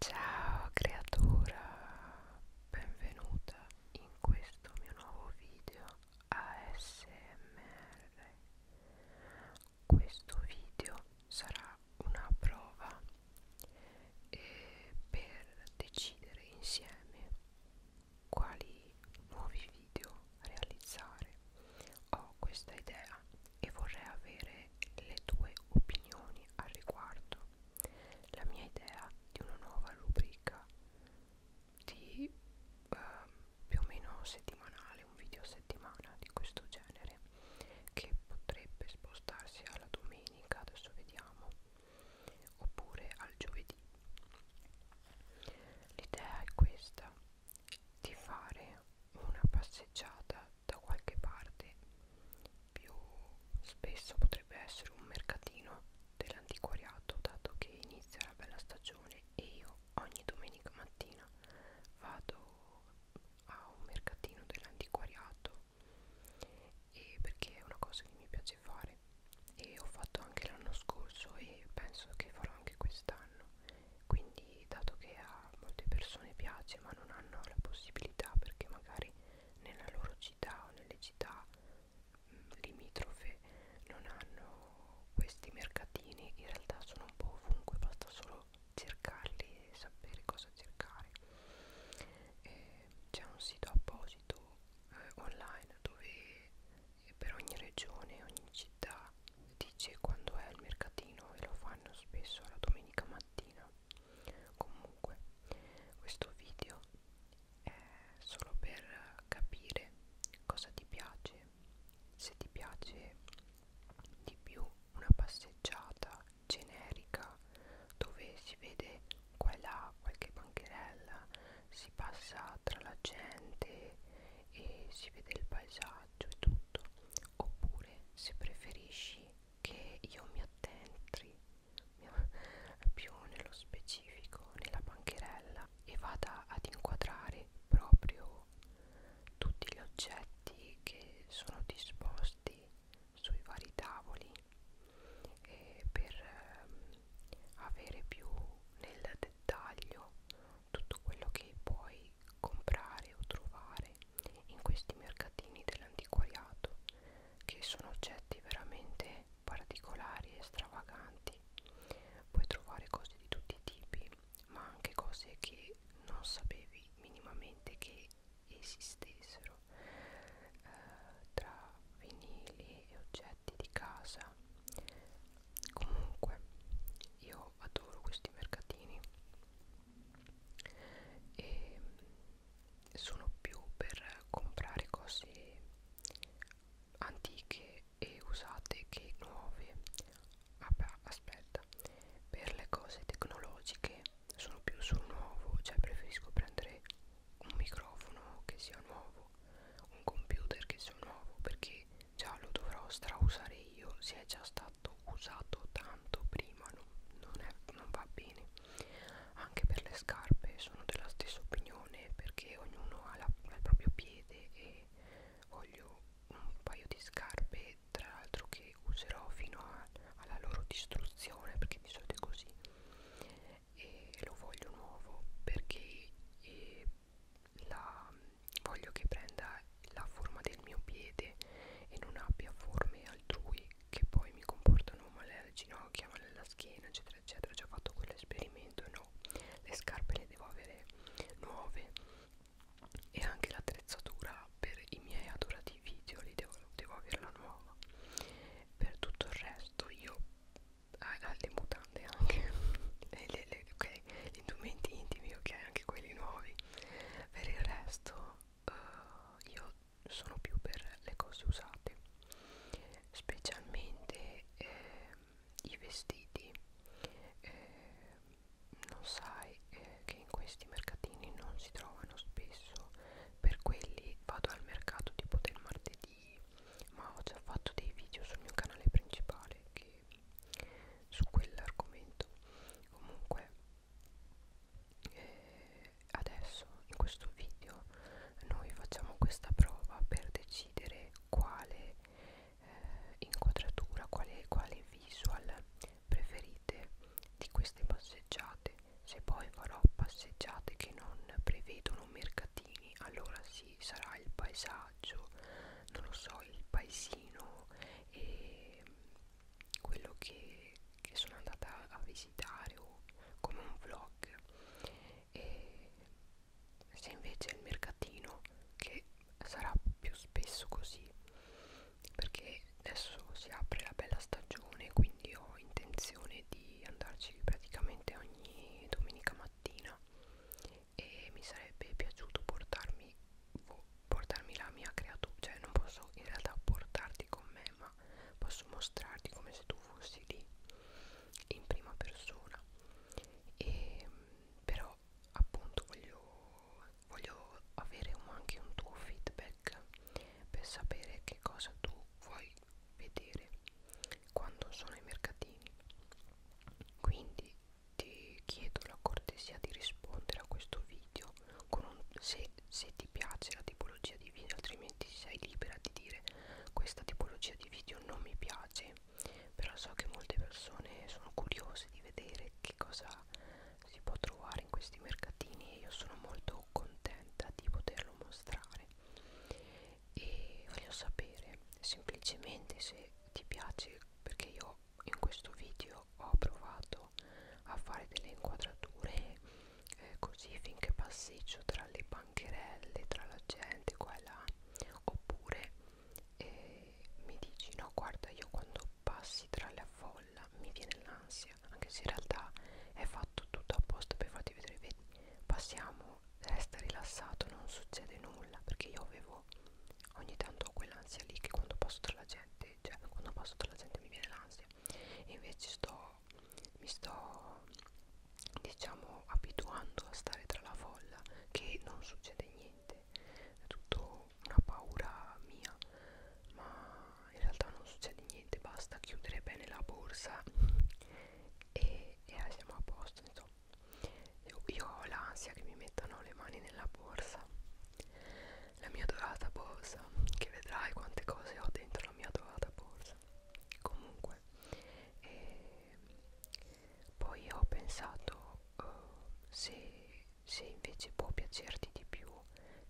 Ciao creatura, benvenuta in questo mio nuovo video ASMR. Questo video sarà una prova eh, per decidere insieme quali nuovi video realizzare. Ho questa idea e vorrei avere le tue opinioni al riguardo. La mia idea di una nuova rubrica di eh, più o meno settimanale, un video a settimana di questo genere che potrebbe spostarsi alla domenica, adesso vediamo, oppure al giovedì. L'idea è questa, di fare una passeggiata da qualche parte più spesso potrebbe essere un mercatino dell'antiquariato dato che inizia la bella stagione e io ogni domenica mattina vado a un mercatino dell'antiquariato e perché è una cosa che mi piace fare e ho fatto anche l'anno scorso e penso che farò anche quest'anno quindi dato che a a molte persone piace ma non hanno la possibilità perché magari nella loro città o nelle città mh, mm, limitrofe non hanno questi mercatini in realtà sono un po' ovunque basta solo cercarli e sapere cosa cercare c'è un sito apposito eh, online dove per ogni regione ogni città dice quando è il mercatino e lo fanno spesso la domenica mattina comunque questo video è solo per capire cosa ti piace se ti piace di più una passeggiata generica dove si vede qua e là qualche bancherella si passa tra la gente e si vede il paesaggio e tutto oppure se preferisci che io mi attentri più nello specifico nella bancherella e vada ad inquadrare proprio tutti gli oggetti che sono disposti sui vari tavoli e per ehm, avere più nel dettaglio tutto quello che poi puoi comprare o trovare in questi mercatini dell'antiquariato che sono oggetti veramente particolari e stravaganti puoi trovare cose di tutti i tipi ma anche cose che non sapevi minimamente che esistessero eh, tra vinili e oggetti di casa comunque io adoro questi mercatini e sono più per comprare cose antiche e usate che nuove vabbè aspetta per le cose tecnologiche sono più sul nuovo cioè preferisco prendere un microfono che sia nuovo un computer che sia nuovo perché già lo dovrò strausare io se è già stato stato usato tanto prima non, non, è, non va bene anche per le scarpe sono della stessa opinione perché ognuno ha, la, ha il proprio piede e voglio un paio di scarpe tra l'altro che userò fino a, alla loro distruzione perché di solito è così e lo voglio nuovo perché e la, voglio che prenda la forma del mio piede e non abbia forme altrui che poi mi comportano male alle ginocchia, male alla schiena, eccetera, eccetera. Ho già fatto quell'esperimento, no, le scarpe le devo avere nuove e anche l'attrezzatura per i miei adorati video li devo, devo averla nuova. Per tutto il resto io ah, le mutande anche le, le, le, okay. gli indumenti intimi ok anche quelli nuovi per il resto uh, io sono più per le cose usate specialmente eh, i vestiti eh, non sai eh, che in questi mercatini non si trovano spesso per quelli vado al mercato tipo del martedì ma ho già fatto dei video sul mio canale principale che su quell'argomento comunque e eh, adesso in questo video noi facciamo questa prova per decidere quale eh, inquadratura, quale, quale visual preferite di queste passeggiate se poi farò passeggiate che non prevedono mercatini allora sì sarà il paesaggio non lo so il paesino e quello che, che sono andata a visitare o come un vlog e se invece è il mercatino che sarà più spesso così perché adesso si apre la bella stagione quindi ho intenzione di andarci praticamente ogni domenica mattina e mi sarebbe piaciuto portarmi boh, portarmi la mia creatura cioè non posso in realtà portarti con me ma posso mostrarti come se tu fossi lì in prima persona e però appunto voglio, voglio avere un, anche un tuo feedback per sapere che cosa tu vuoi vedere quando sono ai mercatini quindi ti chiedo la cortesia di rispondere a questo video con un, se, se ti piace la tipologia di video altrimenti sei libera di dire questa tipologia di video non mi piace però so che molte persone sono curiose di vedere che cosa si può trovare in questi mercatini e io sono molto contenta di poterlo mostrare e voglio sapere semplicemente se ti piace perché io in questo video io ho provato a fare delle inquadrature eh, così finché passeggio tra le bancherelle, tra la gente qua e là oppure eh, mi dici no guarda io quando passi tra la folla mi viene l'ansia anche se in realtà è fatto tutto apposta per farti vedere vedi passiamo resta rilassato non succede nulla perché io avevo ogni tanto ho quell'ansia lì che quando passo tra la gente cioè quando passo tra la gente mi viene l'ansia e invece sto mi sto diciamo abituando a stare tra la folla che non succede niente è tutto una paura mia ma in realtà non succede niente basta chiudere bene la borsa e, e eh, siamo a posto insomma io, io ho l'ansia che mi mettano le mani nella borsa la mia dorata borsa che vedrai quante cose ho dentro la mia dorata borsa comunque e ehm, poi ho pensato uh, se, se invece può piacerti di più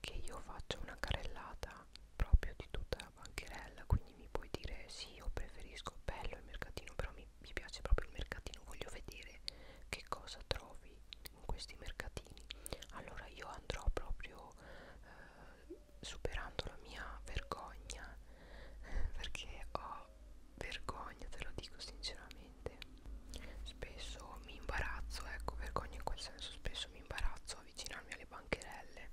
che io faccio una carellata proprio di tutta la bancherella quindi mi puoi dire sì io preferisco bello il mercatino però mi, mi piace proprio il mercatino voglio vedere che cosa trovi in questi mercatini allora io andrò proprio eh, superando la mia vergogna perché ho vergogna te lo dico sinceramente spesso mi imbarazzo ecco vergogna in quel senso spesso mi imbarazzo avvicinarmi alle bancherelle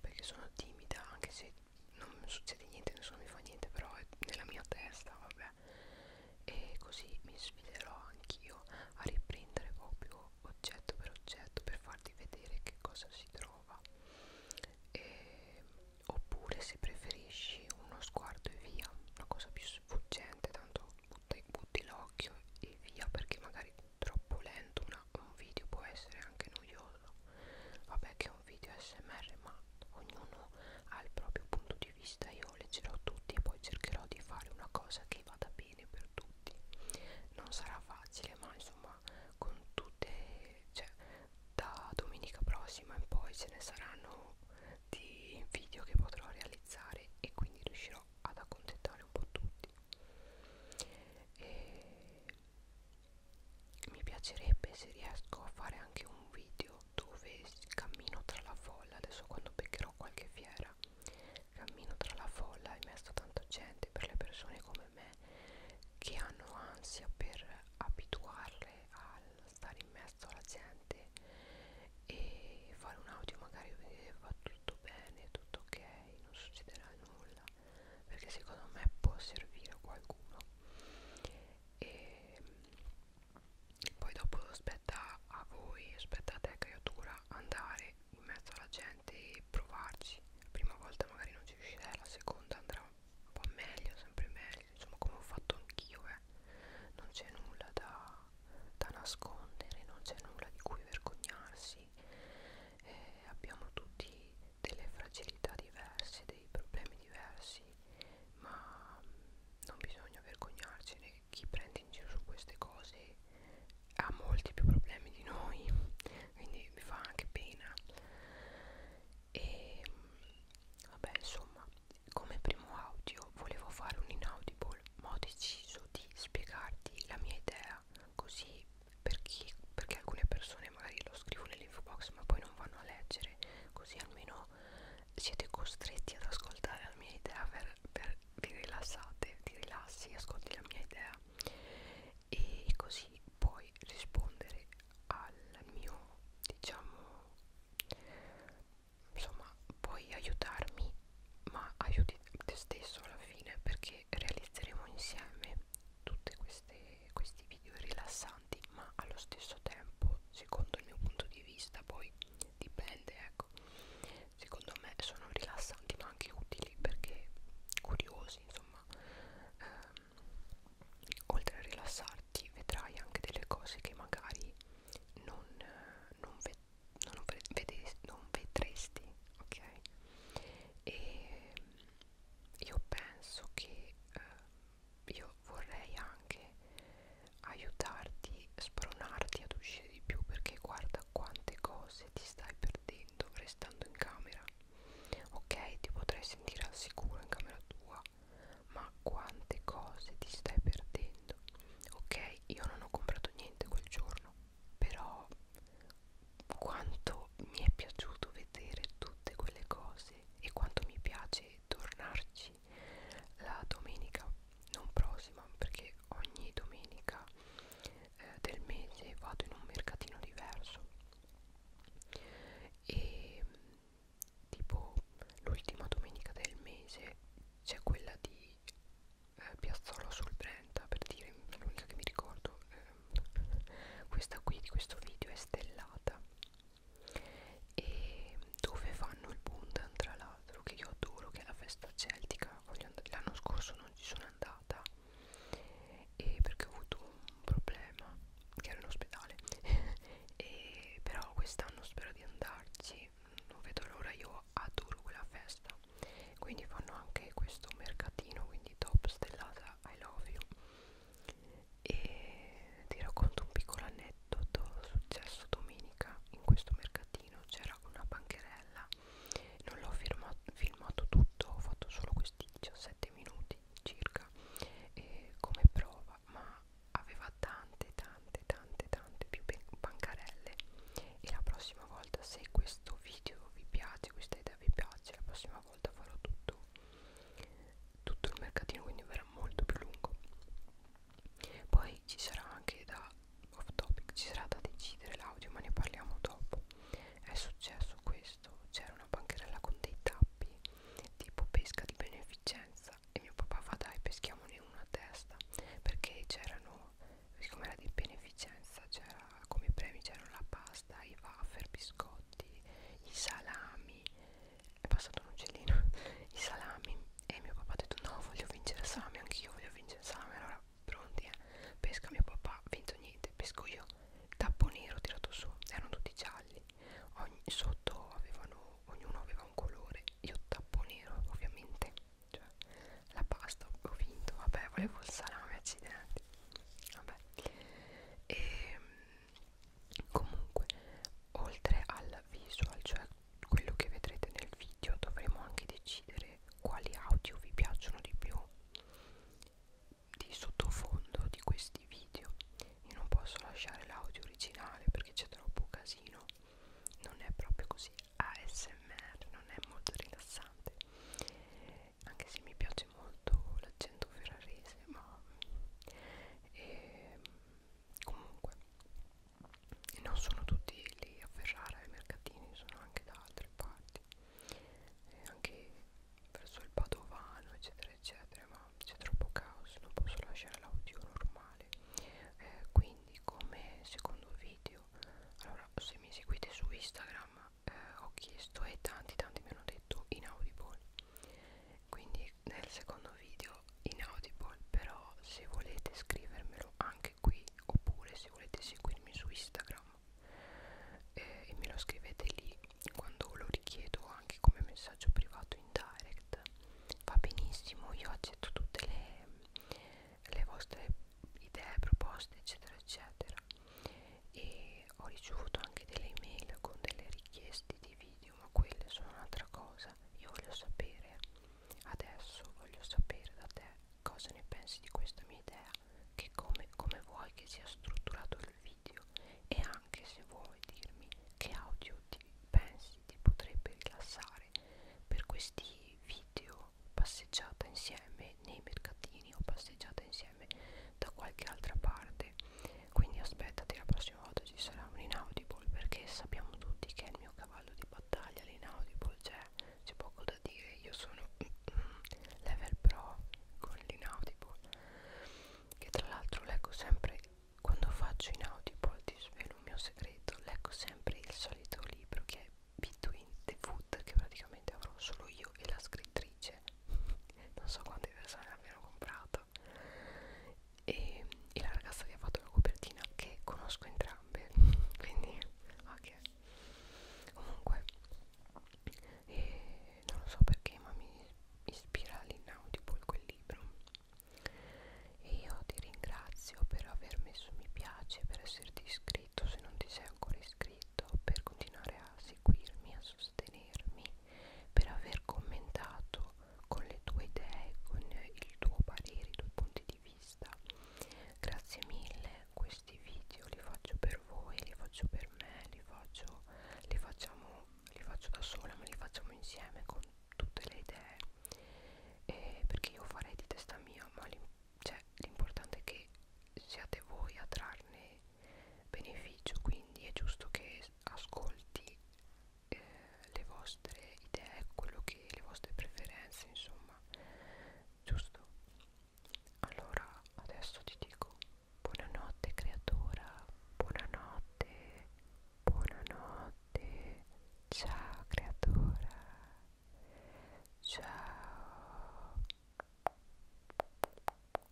perché sono timida anche se non succede niente nessuno mi fa niente però è nella mia testa vabbè me e così mi sfiderò anch'io a riprendere proprio oggetto per oggetto per farti vedere che cosa si trova e, oppure se preferisci uno sguardo e via una cosa più sfuggente tanto butti, butti l'occhio e via perché magari troppo lento una, un video può essere anche noioso vabbè che è un video smr ma ognuno ha il proprio punto di di vista io leggerò tutti e poi cercherò di fare una cosa che vada bene per tutti non sarà facile ma insomma con tutte cioè da domenica prossima in poi ce ne saranno di video che potrò realizzare e quindi riuscirò ad accontentare un po' tutti e mi piacerebbe se riesco a fare anche un video video dove cammino tra la folla adesso quando beccherò qualche fiera cammino tra la folla e messo tanta gente per le persone come me che hanno ansia per abituarle a stare in mezzo alla gente e fare un audio magari che eh, va tutto bene, tutto ok, non succederà nulla perché secondo me può servire a qualcuno e ehm, poi dopo aspetta a voi aspetta a te creatura andare in mezzo alla gente e provarci la prima volta magari non ci riuscirai la seconda andrà un po' meglio sempre meglio insomma come ho fatto anch'io eh. non c'è nulla da, da nascondere non c'è nulla di cui vergognarsi eh, abbiamo tutti delle fragilità diverse dei problemi diversi ma non bisogna vergognarcene chi prende in giro su queste cose ha molti più problemi di noi quindi mi fa anche pena e ehm, vabbè insomma come primo audio volevo fare un inaudible ma ho deciso di spiegarti la mia idea così per chi, perché alcune persone magari lo scrivo nell'info box ma poi non vanno a leggere così almeno no siete costretti ad ascoltare la mia idea per, per vi rilassate ti rilassi ascolti la mia idea e così puoi rispondere al mio diciamo insomma puoi aiutarmi ma aiuti te stesso alla fine perché realizzeremo insieme tutti questi video rilassanti ma allo stesso tempo ecco secondo il mio punto di vista poi dipende ecco secondo me sono rilassanti ma anche utili perché curiosi insomma ehm, oltre a rilassarti vedrai anche delle cose che magari non, eh, non, ve non, vede non vedresti ok e io penso che eh, io vorrei anche aiutarti, spronarti ad uscire di più perché guarda quante cose ti stai perdendo restando in camera. Ok, ti potrai sentire al sicuro in camera tua, ma quante cose ti stai perdendo. Ok, io non ho comprato niente quel giorno, però quanto mi è piaciuto vedere tutte quelle cose e quanto mi piace tornarci la domenica non prossima perché ogni domenica eh, del mese vado in un mercatino diverso e tipo l'ultima domenica del mese c'è quella di eh, Piazzola sul Brenta per dire l'unica che mi ricordo eh, questa qui di questo video è stellata e dove fanno il Bundan tra l'altro che io adoro che è la festa celtica l'anno scorso non ci sono andata e perché ho avuto un problema che ero in ospedale e però quest'anno spero di andarci non vedo l'ora io adoro quella festa quindi fanno anche questo mercatino quindi top stellata I love you e ti racconto un piccolo aneddoto successo domenica in questo mercatino c'era una bancherella non l'ho filmato tutto ho fatto solo questi 17 minuti circa eh, come prova ma aveva tante tante tante tante più bancarelle e la prossima volta se questo video vi piace questa idea vi piace la prossima volta farò tutto tutto il mercatino quindi verrà molto più lungo poi ci sarà anche da off topic ci sarà da decidere l'audio ma ne parliamo dopo è successo questo c'era una bancherella con dei tappi tipo pesca di beneficenza e mio papà fa dai peschiamone uno a testa perché c'erano siccome era di beneficenza c'era come premi c'erano la pasta i wafer biscotti i salami è passato un uccellino i salami e mio papà ha detto no voglio vincere il salame anch'io voglio vincere il salame allora pronti eh pesca mio papà vinto niente pesco io tappo nero tirato su erano tutti gialli Ogni, sotto avevano ognuno aveva un colore io tappo nero ovviamente cioè la pasta ho vinto vabbè volevo il salame accidenti vabbè e ehm, comunque oltre al visual cioè quello che vedrete nel video dovremo anche decidere quali audio vi piacciono di più di sottofondo di questi video io non posso lasciare l'audio originale perché c'è troppo casino non è proprio così ASMR non è molto rilassante anche se mi piace molto l'accento ferrarese ma e, ehm, comunque non sono tutti lì a Ferrara ai mercatini sono anche da altre parti e anche verso il Padovano eccetera eccetera ma c'è troppo caos non posso lasciare l'audio normale eh, quindi come secondo video allora se mi seguite su Instagram eh, ho chiesto e tanti tanti mi hanno detto inaudible quindi nel secondo video in audible però se volete scrivermelo anche qui oppure se volete seguirmi su instagram eh, e me lo scrivete lì quando lo richiedo anche come messaggio privato in direct va benissimo io accetto tutte le, le vostre idee proposte eccetera eccetera e ho ricevuto anche delle email con delle richieste di video Dio ma quelle sono un'altra cosa Io voglio sapere Adesso voglio sapere da te Cosa ne pensi di questa mia idea Che come, come vuoi che sia strutturato il video E anche se vuoi dirmi Che audio ti pensi ti potrebbe rilassare Per questi video Passeggiata insieme nei mercatini O passeggiata insieme da qualche altra parte quindi aspettati la prossima volta ci sarà un inaudible perché sappiamo tutti che è il mio cavallo di battaglia l'inaudible cioè c'è poco da dire io sono level pro con l'inaudible che tra l'altro leggo sempre quando faccio inaudible ti svelo un mio segreto leggo sempre il solito libro che è Between the Food che praticamente avrò solo io e la scrittrice non so quante persone l'abbiano comprato puntata e, e la ragazza che ha fatto la copertina che conosco entrambe quindi ok comunque e non lo so perché ma mi ispira all'inaudible quel libro e io ti ringrazio per aver messo mi piace per esserti iscritto se non ti sei ancora iscritto per continuare a seguirmi a sostenermi per aver commentato con le tue idee, con il tuo parere, i tuoi punti di vista. Grazie mille, questi video li faccio per voi, li faccio per me, li faccio, li facciamo, li faccio da sola, ma li facciamo insieme con tutte le idee. E perché io farei di testa mia, ma cioè, l'importante cioè, è che siate voi a trarne beneficio, quindi è giusto che ascolti eh, le vostre idee, quello che le vostre preferenze, insomma, giusto? Allora, adesso ti dico buonanotte creatura, buonanotte, buonanotte, ciao creatura, ciao.